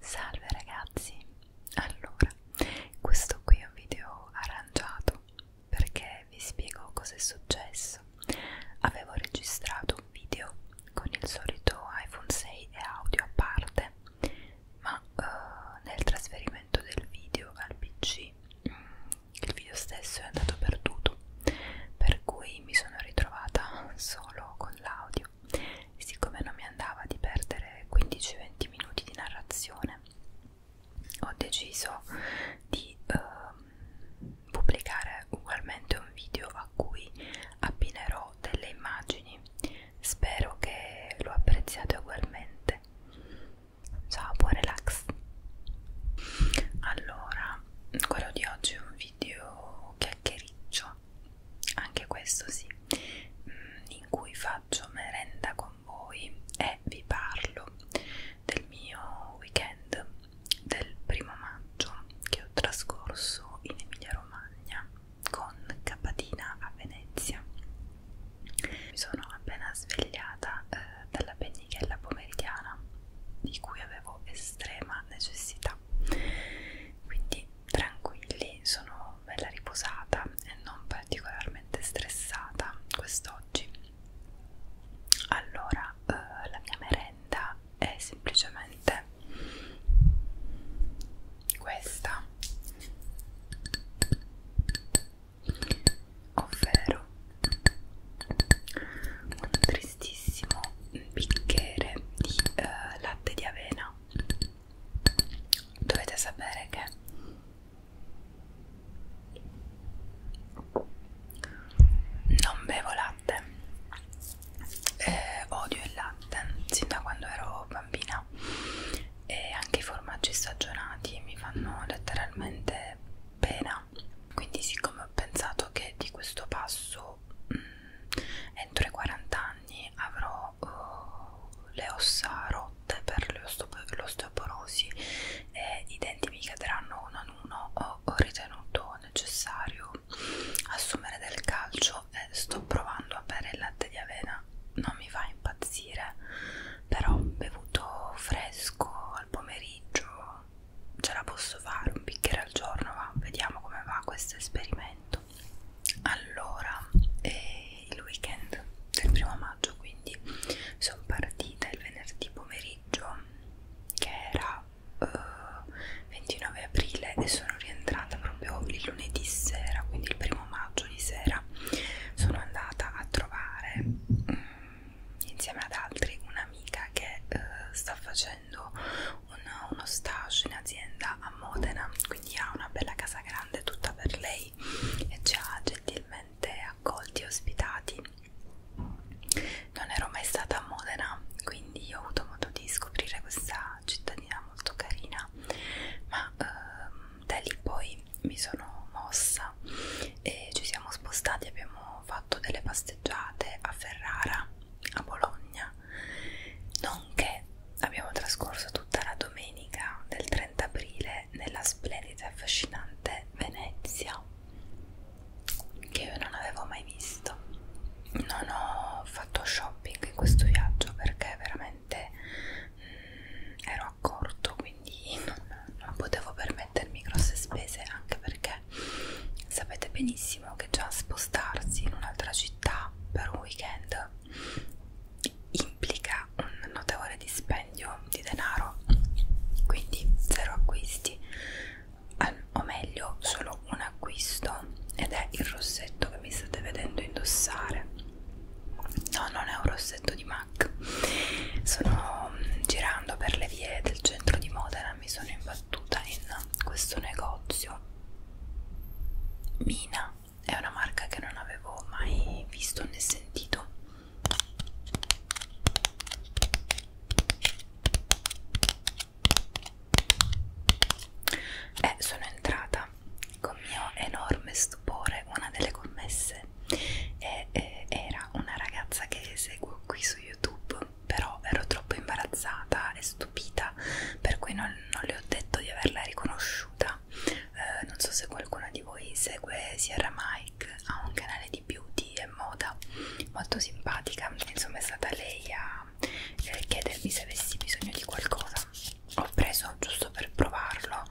Salve ragazzi, allora questo qui è un video arrangiato perché vi spiego cosa è successo. Avevo registrato un video con il solito iPhone 6 e audio a parte, ma uh, nel trasferimento del video al PC mm, il video stesso è andato perduto, per cui mi sono ritrovata solo con l'audio e siccome non mi andava di perdere 15-20 minuti di narrazione ho deciso di eh, pubblicare ugualmente un video a cui appinerò delle immagini spero che lo apprezziate ugualmente ciao buon relax allora quello di oggi è un video chiacchiericcio qua anche questo sì mm, in cui faccio merenda con voi e vi parlo del mio weekend del primo maggio che ho trascorso in Emilia Romagna con Capatina a Venezia mi sono appena svegliata eh, dalla pennichella pomeridiana di cui avevo estrema necessità quindi tranquilli, sono bella riposata e non particolarmente stressata quest'oggi. Allora, eh, la mia merenda è semplicemente questa, ovvero un prestissimo un bicchiere di uh, latte di avena dovete sapere che non bevo latte eh, odio il latte sin da quando ero bambina e anche i formaggi stagionati mi fanno letteralmente pena quindi siccome ho pensato che di questo passo mh, mm, entro i 40 anni avrò uh, le ossa rotte per l'osteoporosi e i denti mi cadranno uno ad uno ho, ho ritenuto necessario assumere del calcio e sto provando a bere il latte di avena non mi fa impazzire però bevuto fresco al pomeriggio ce la posso fare un bicchiere al giorno va vediamo come va questo esperimento allora è il weekend del primo maggio quindi sono partita il venerdì pomeriggio che era uh, eh, 29 aprile e sono rientrata proprio il lunedì sera quindi il primo maggio di sera sono andata a trovare um, insieme ad altri un'amica che uh, sta facendo facendo una, uno stage in azienda a Modena quindi ha una bella casa grande tutta per lei e ci ha gentilmente accolti e ospitati non ero mai stata a Modena quindi ho avuto modo di scoprire questa cittadina molto carina ma ehm, da lì poi mi sono mossa e ci siamo spostati abbiamo fatto delle passeggiate a Ferrara a Bologna, nonché abbiamo trascorso tutta la domenica del 30 aprile nella splendida e affascinante Venezia, che io non avevo mai visto. Non ho fatto shopping in questo viaggio perché veramente mh, mm, ero a corto, quindi non, non potevo permettermi grosse spese, anche perché perché sapete benissimo che già spostarsi in un'altra città per un weekend implica un notevole dispendio di denaro quindi zero acquisti o meglio solo un acquisto ed è il rossetto che mi state vedendo indossare no non è un rossetto di MAC sono mm, girando per le vie del centro di Modena mi sono imbattuta in questo negozio Mina è una marca che non avevo mai visto né sentito e eh, sono entrata con mio enorme stupore una delle commesse e, e, eh, era una ragazza che seguo qui su youtube però ero troppo imbarazzata e stupita, per cui non, non le ho detto di averla riconosciuta. Eh, non so se qualcuno di voi segue Sierra Mike, ha un canale di beauty e moda molto simpatica, insomma è stata lei a eh, chiedermi se avessi bisogno di qualcosa. Ho preso giusto per provarlo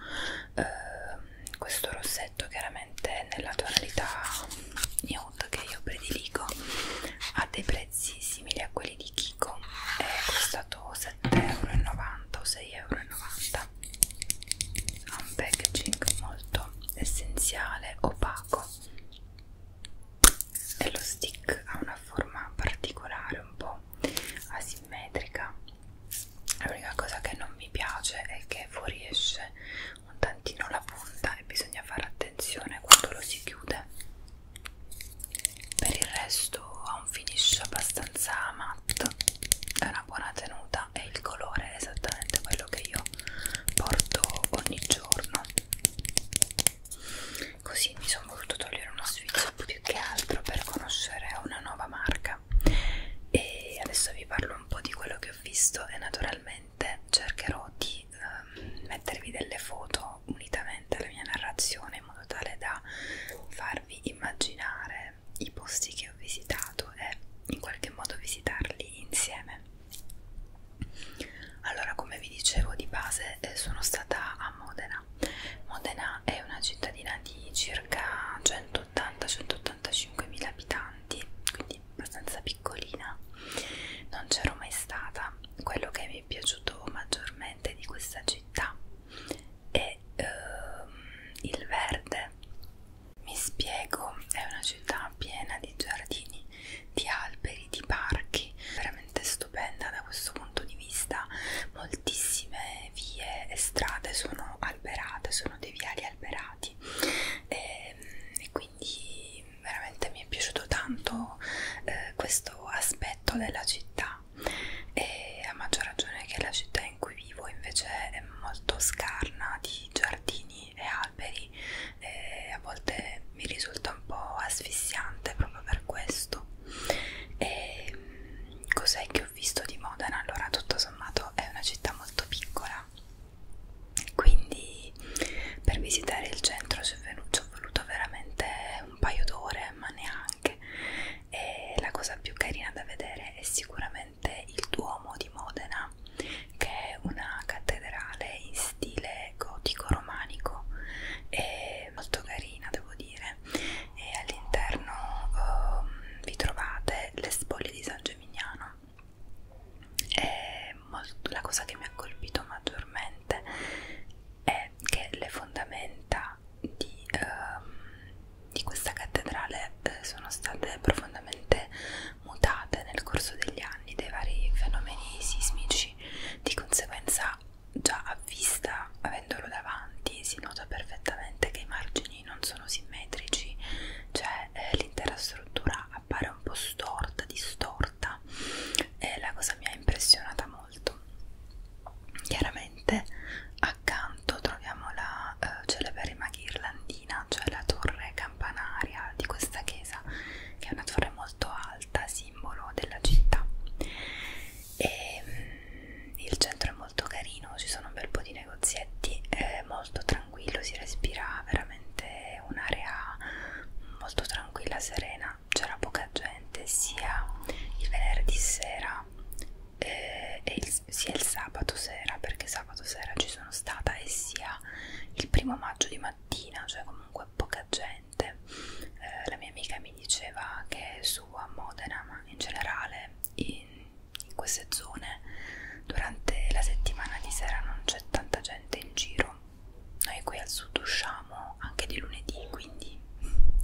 eh, questo rossetto chiaramente nella tonalità nude appunto che io prediligo a dei prezzi simili a quelli di Kiko è costato 7,90€ o 6,90€ ha un packaging molto essenziale, opaco e lo stick ha una forma particolare un po' asimmetrica l'unica cosa che non mi piace è che fuoriesce un tantino la punta e bisogna fare attenzione quando lo si chiude per il resto ha un finish abbastanza matto è una buona tenuta e il colore è esattamente quello che io porto ogni giorno così mi sono voluto togliere uno sfizio più che altro per conoscere una nuova marca e adesso vi parlo un po' di quello che ho visto e naturalmente sicuramente cercherò di eh, mettervi delle foto unitamente alla mia narrazione in modo tale da farvi immaginare i posti che ho visitato e in qualche modo visitarli insieme allora come vi dicevo di base eh, sono stata a Modena Modena è una cittadina di circa 180-185 mila abitanti quindi quindi abbastanza piccolina non c'ero mai stata quello che mi è piaciuto maggiormente di questa città è ehm, il verde mi spiego è una città piena di giardini di alberi di parchi veramente stupenda da questo punto di vista moltissime vie e strade sono alberate sono dei viali alberati stati e, ehm, e quindi veramente mi è piaciuto tanto eh, questo aspetto della città e a maggior ragione che la città in cui vivo invece è molto scarna di giardini e alberi e a volte mi risulta un po' asfissiante proprio per questo e mm, cos'è che ho visto di Modena? Allora tutto sommato è una città molto piccola quindi per visitare il centro ci ho voluto veramente un paio d'ore ma neanche e la cosa più carina da vedere è sicuramente il Duomo di Modena che è una cattedrale in stile gotico romanico è molto carina devo dire e all'interno um, vi trovate le spoglie di San Gemignano molto, la cosa che mi ha colpito maggiormente è che le fondamenta di, uh, di questa cattedrale eh, sono state profondamente mutate nel corso degli anni dai vari fenomeni sismici, di conseguenza già a vista avendolo davanti si nota perfettamente che i margini angoli non sono simmetrici cioè eh, l'intera struttura appare un po' storta, distorta e la cosa mi ha impressionata molto chiaramente accanto troviamo la eh, celeberrima ghirlandina cioè la torre campanaria di questa chiesa che è una torre molto alta, simbolo della città e mm, il centro è molto molto carino, ci sono un bel po' di negozietti, è molto tranquillo, si respira veramente un'area molto tranquilla, serena, c'era poca gente sia il venerdì sera eh, e il, sia il sabato sera, perché sabato sera ci sono stata e sia il primo maggio di mattina, cioè comunque poca gente. Eh, la mia amica mi diceva che su a Modena, ma in generale in in queste zone durante la settimana di sera non c'è tanta gente in giro noi qui al sud usciamo anche di lunedì quindi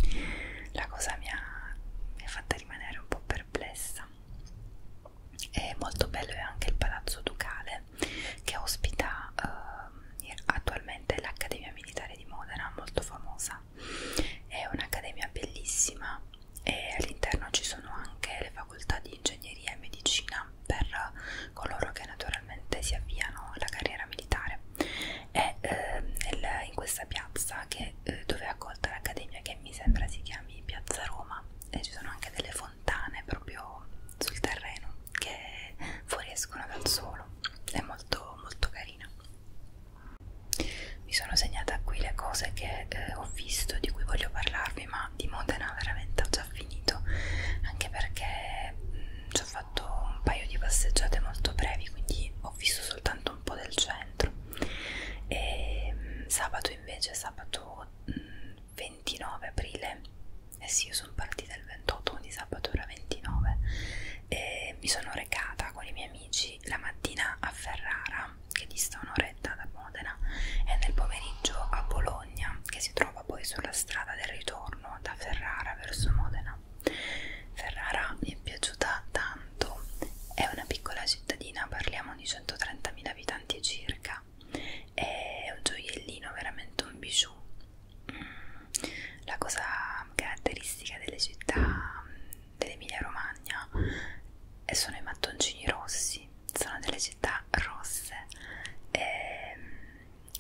la cosa mi ha, mi ha fatta rimanere un po' perplessa e molto bello è anche il palazzo ducale che ospita eh, attualmente l'Accademia Militare di Modena, molto famosa. È un'accademia bellissima e all'interno ci sono anche le facoltà di ingegneria e medicina per coloro che naturalmente si avviano alla carriera militare è eh, nel, in questa piazza che, eh, dove è accolta l'accademia che mi sembra si chiami Piazza Roma e ci sono anche delle fontane proprio sul terreno che fuoriescono dal suolo è molto molto carina mi sono segnata qui le cose che eh, ho visto e di cui voglio parlarvi ma di Modena veramente ho già finito anche perché mh, mm, ci ho fatto un paio di passeggiate molto brevi quindi ho visto soltanto un po' del centro e mh, mm, sabato invece sabato mh, mm, 29 aprile eh sì io sono partita il 28 quindi sabato era 29 e mi sono recata con i miei amici oggi la mattina a Ferrara, che dista un'oretta da Modena, e nel pomeriggio a Bologna, che si trova poi sulla strada del ritorno da Ferrara verso Modena. Ferrara mi è piaciuta tanto, è una piccola cittadina, parliamo di 130.000 abitanti circa, è un gioiellino, veramente un bijou. Mm. La cosa caratteristica delle città dell'Emilia Romagna e sono i mattoncini rossi, sono delle città rosse e, ehm,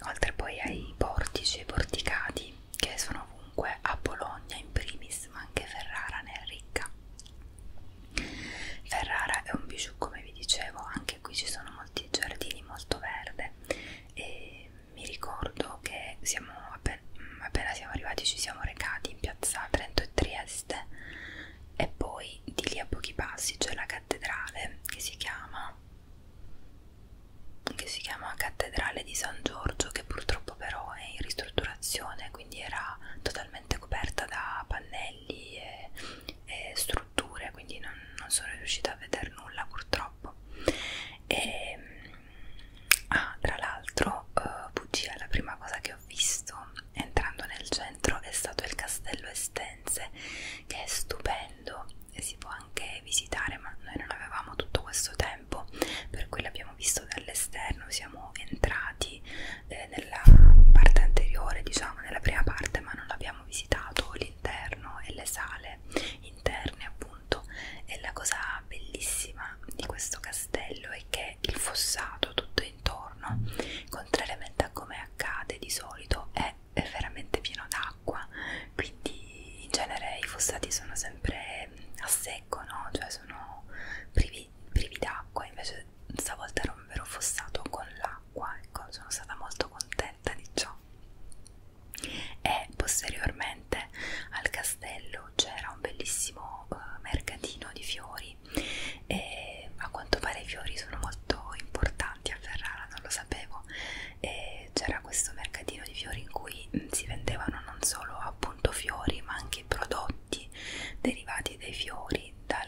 oltre poi ai portici e porticati che sono ovunque a Bologna in primis ma anche Ferrara ne è ricca Ferrara è un bijou come vi dicevo anche qui ci sono molti giardini molto verde e mi ricordo che siamo appena appena siamo arrivati ci siamo recati in piazza Trento e Trieste e poi di lì a pochi passi c'è la cattedrale che si chiama che si chiama cattedrale di San Giorgio che purtroppo però è in ristrutturazione quindi era totalmente coperta da pannelli e, e strutture quindi non, non sono riuscita a vedere nulla purtroppo e ehm, ah, tra l'altro, uh, bugia, la prima cosa che ho visto entrando nel centro è stato il castello Estense, che è stupendo e si può anche visitare, ma noi non avevamo tutto questo tempo, per cui l'abbiamo visto dall'esterno, siamo entrati eh, nella parte anteriore, diciamo, nella prima parte, ma non abbiamo visitato l'interno e le sale interne appunto e la cosa bellissima di questo castello è che il fossato tutto intorno contrariamente a come accade di solito è, è veramente pieno d'acqua quindi in genere i fossati sono sempre a secco no? cioè sono privi, privi d'acqua invece stavolta era un vero fossato con l'acqua ecco sono stata molto contenta di ciò e posteriormente al castello più c'era un bellissimo eh, mercatino di fiori e a quanto pare i fiori sono molto importanti a Ferrara, non lo sapevo c'era questo mercatino di fiori in cui mm, si vendevano non solo appunto fiori ma anche prodotti derivati dai fiori dal,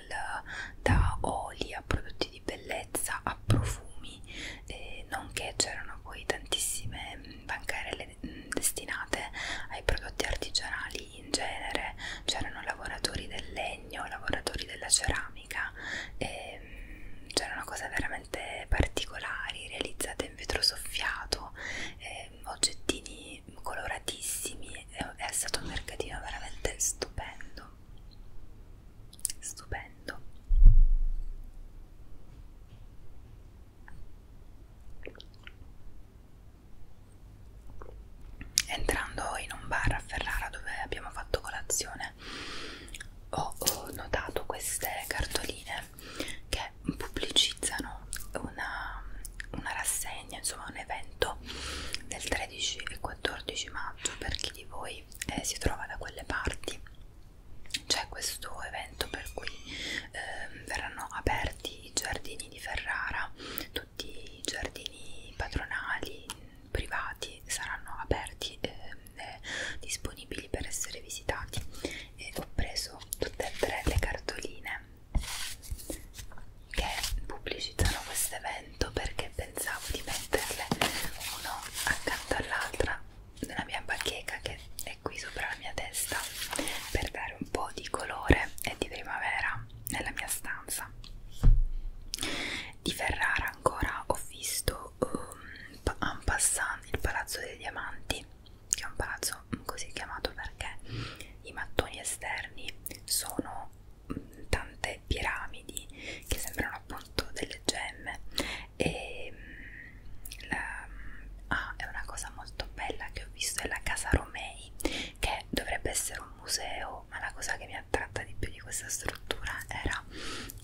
da oli a prodotti di bellezza a profumi eh, nonché c'erano poi tantissime mm, bancarelle quelle mm, destinate ai prodotti artigianali in genere, c'erano lavoratori del legno, lavoratori della ceramica, mm, c'erano cose veramente particolari realizzate in vetro soffiato, e mm, oggettini coloratissimi, è stato un mercatino veramente stupendo, stupendo. Entrando in un bar a Ferrara dove abbiamo fatto colazione ho, ho notato queste cartoline che pubblicizzano una, una rassegna, insomma un evento del 13 e 14 maggio per chi di voi eh, si trova da quelle parti c'è questo evento per cui eh, verranno aperti i giardini di Ferrara, tutti i giardini patronali privati saranno aperti ehm, e eh, disponibili per essere visitati e ho preso tutte e tre le cartoline che pubblicizzano questo evento perché pensavo di metterle uno accanto all'altra nella mia bacheca che è qui sopra la mia testa per dare un po' di colore e di primavera nella mia stanza di Ferrara ancora ho visto um, un passant il palazzo dei diamanti che è un palazzo così chiamato perché i mattoni esterni sono um, tante piramidi che sembrano appunto delle gemme e mm, la, ah, è una cosa molto bella che ho visto è la casa Romei che dovrebbe essere un museo ma la cosa che mi attratta di più di questa struttura era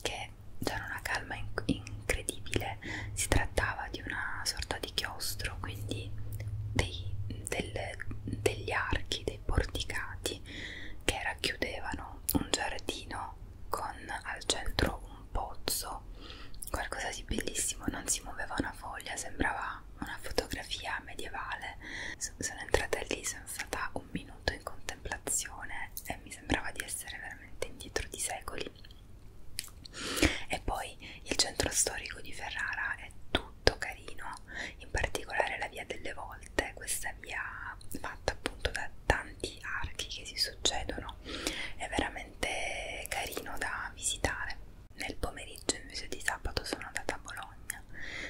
che c'era una calma inc incredibile si trattava di una sorta di chiostro quindi dei, del, degli archi dei porticati che racchiudevano un giardino con al centro un un pozzo, qualcosa di bellissimo, non si muoveva una foglia, sembrava una fotografia medievale. Sono entrata lì, sono stata un minuto in contemplazione e mi sembrava di essere veramente indietro di secoli. E poi il centro storico di Ferrara è tutto carino, in particolare la via delle volte, questa via ma fatta appunto da tanti archi che si succedono è veramente carino da visitare nel pomeriggio invece di sabato sono andata a Bologna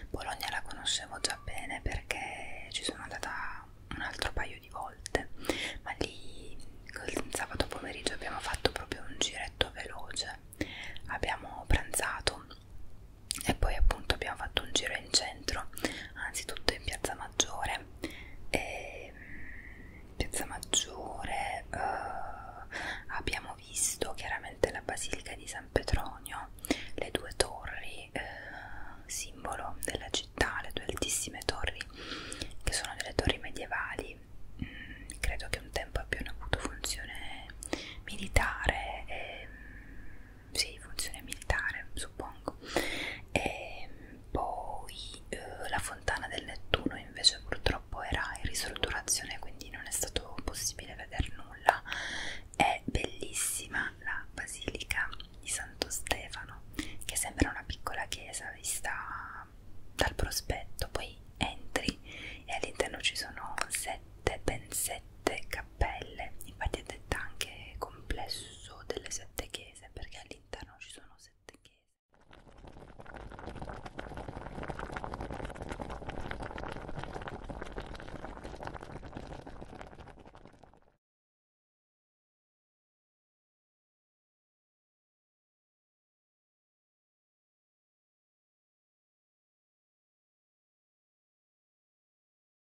Bologna la conoscevo già bene perché ci sono andata un altro paio di volte ma lì il sabato pomeriggio abbiamo fatto proprio un giretto veloce abbiamo pranzato e poi appunto abbiamo fatto un giro in centro anzitutto in piazza maggiore Maggiore, ehm, e, Piazza Maggiore, eh, abbiamo visto chiaramente la Basilica di San Petronio, le due torri, eh, simbolo della città, le due altissime torri che sono delle torri medievali, mm, credo che un tempo abbiano avuto funzione militare e ehm, sì, funzione militare, suppongo. E poi eh, la fontana del Nettuno invece purtroppo era in risolturazione, quindi non è stato possibile vedere nulla. È bellissima la basilica di Santo Stefano, che sembra una piccola chiesa vista dal prospetto. Poi entri e all'interno ci sono sette, ben sette a pelle, infatti è detta anche complesso delle sette chiese perché all'interno ci sono sette chiese.